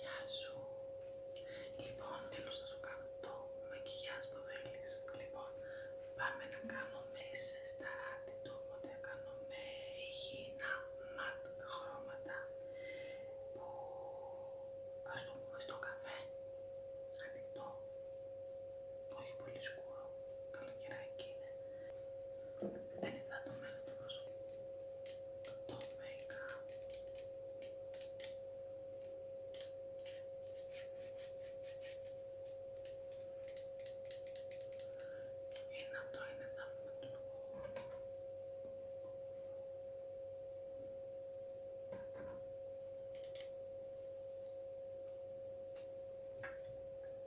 Γεια σου. Λοιπόν, θέλω να σου κάνω το μακιγιάζ που θέλεις. Λοιπόν, πάμε να κάνουμε σε σταράτη του, οπότε κάνουμε υγιεινά ματ χρώματα που ας το πούμε στο καφέ, ανοιχτό, όχι πολύ σκούρο, καλοκαιράκι είναι. Δεν είδα το μέλλον του Το make-up. Είναι είναι του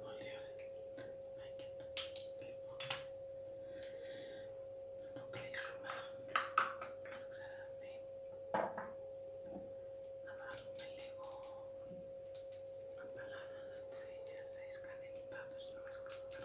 Πολύ ωραία. Ναι, και το... να το να Μας ξαναδεί. Να βάλουμε λίγο να τις ήλιας. να το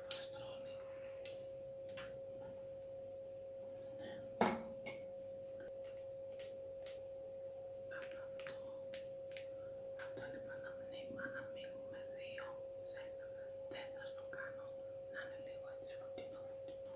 Αυτό λοιπόν να μνήμα να μείνουμε δύο σε ένα τέταρτο κάνω να είναι λίγο έτσι φωτεινό φωτεινό.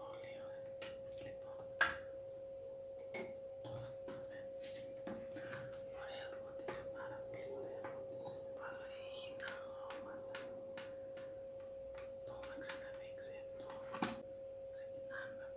Πολύ ωραία. Λοιπόν, τώρα θα δούμε. Ωραία φώτισε, πάρα πολύ ωραία φώτισε. Παρήγινα χρώματα. Το να ξαναδείξει εδώ. Ξεκινάμε από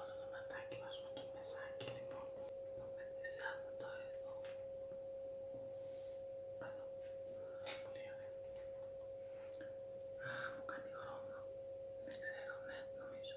Όλο το μετάκι μας το μεσάκι λοιπόν το μεθυσάμε το εδώ. Εδώ. Πολύ ωραία. Α, μου κάνει χρόνο, Δεν ξέρω, ναι, νομίζω.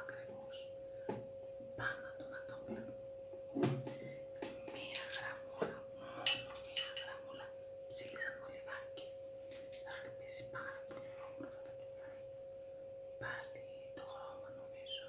Ακριβώ πάνω των κατόπλου. Μία γραμμούλα, μόνο μία γραμμούλα ψήλισαν μολυβάκι. Θα χτυπήσει πάρα πολύ όμορφα το κεφάλι. Πάλι το χρώμα νομίζω.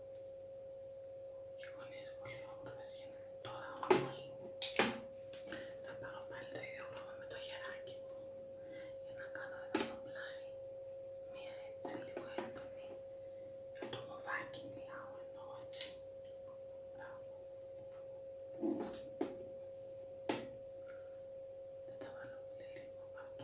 και γονείς πολύ όμορφες γίνανε. Τώρα όμως θα πάρω πάλι το ίδιο χρώμα με το χεράκι μου για να κάνω εδώ το πλάι μία έτσι λίγο έντονη με το μωδάκι μιλάω εννοώ έτσι. Μπράβο. Δεν τα βάλω πολύ λίγο, αυτό.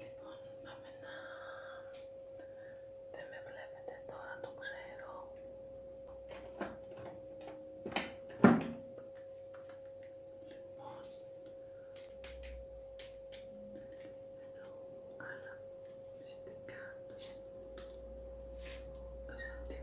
Λοιπόν, πάμε να... Δεν με βλέπετε τώρα, το ξέρω. Λοιπόν, εδώ, άλλα στικά. Σαν την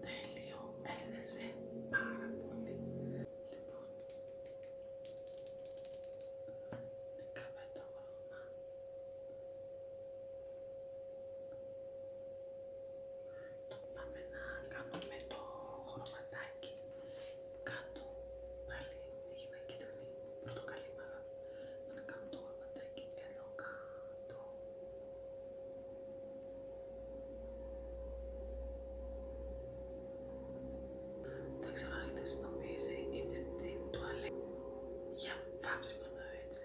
Τέλειο, έλυνεσαι πάρα πολύ. Λοιπόν, έκαμε το χρώμα. Το πάμε να κάνουμε το χρωματάκι κάτω. Πάλι έχει ένα κίτρινο πορτοκαλί Να κάνουμε το χρωματάκι εκεί εδώ κάτω. Δεν ξέρω αν έχετε συνειδητοποιήσει, στην τουαλέτα για βάψιμο εδώ έτσι.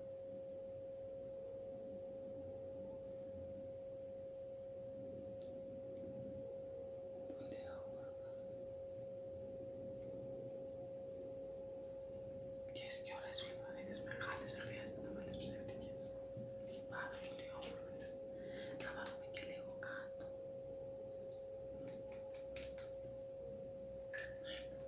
Ποιες και ωραίες φλεβαρίδες μεγάλες δεν χρειάζεται να βάλεις ψεύτικες. Πάρα πολύ όμορφες. Να βάλουμε και λίγο κάτω.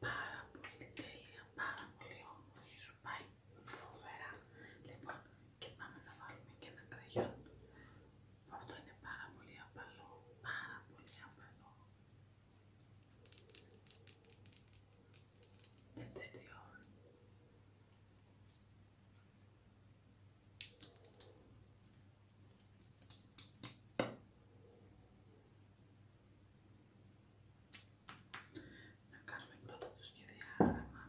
Πάρα πολύ τέλεια, πάρα πολύ όμορφη, σου πάει φοβερά. Λοιπόν, και πάμε να βάλουμε και ένα κραγιόν αυτό είναι πάρα πολύ απαλό, πάρα πολύ απαλό. Έτσι να κάνουμε πρώτα το σχεδιάγραμμα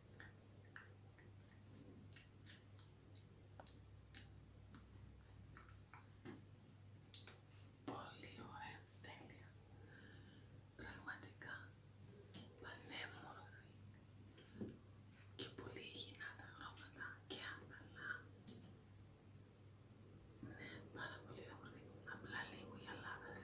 Πολύ ωραία, τέλεια. Πραγματικά πανέμορφη και πολύ υγιεινά τα χρώματα και απλά. Ναι, πάρα πολύ ωραία. Απλά λίγο γυαλάδες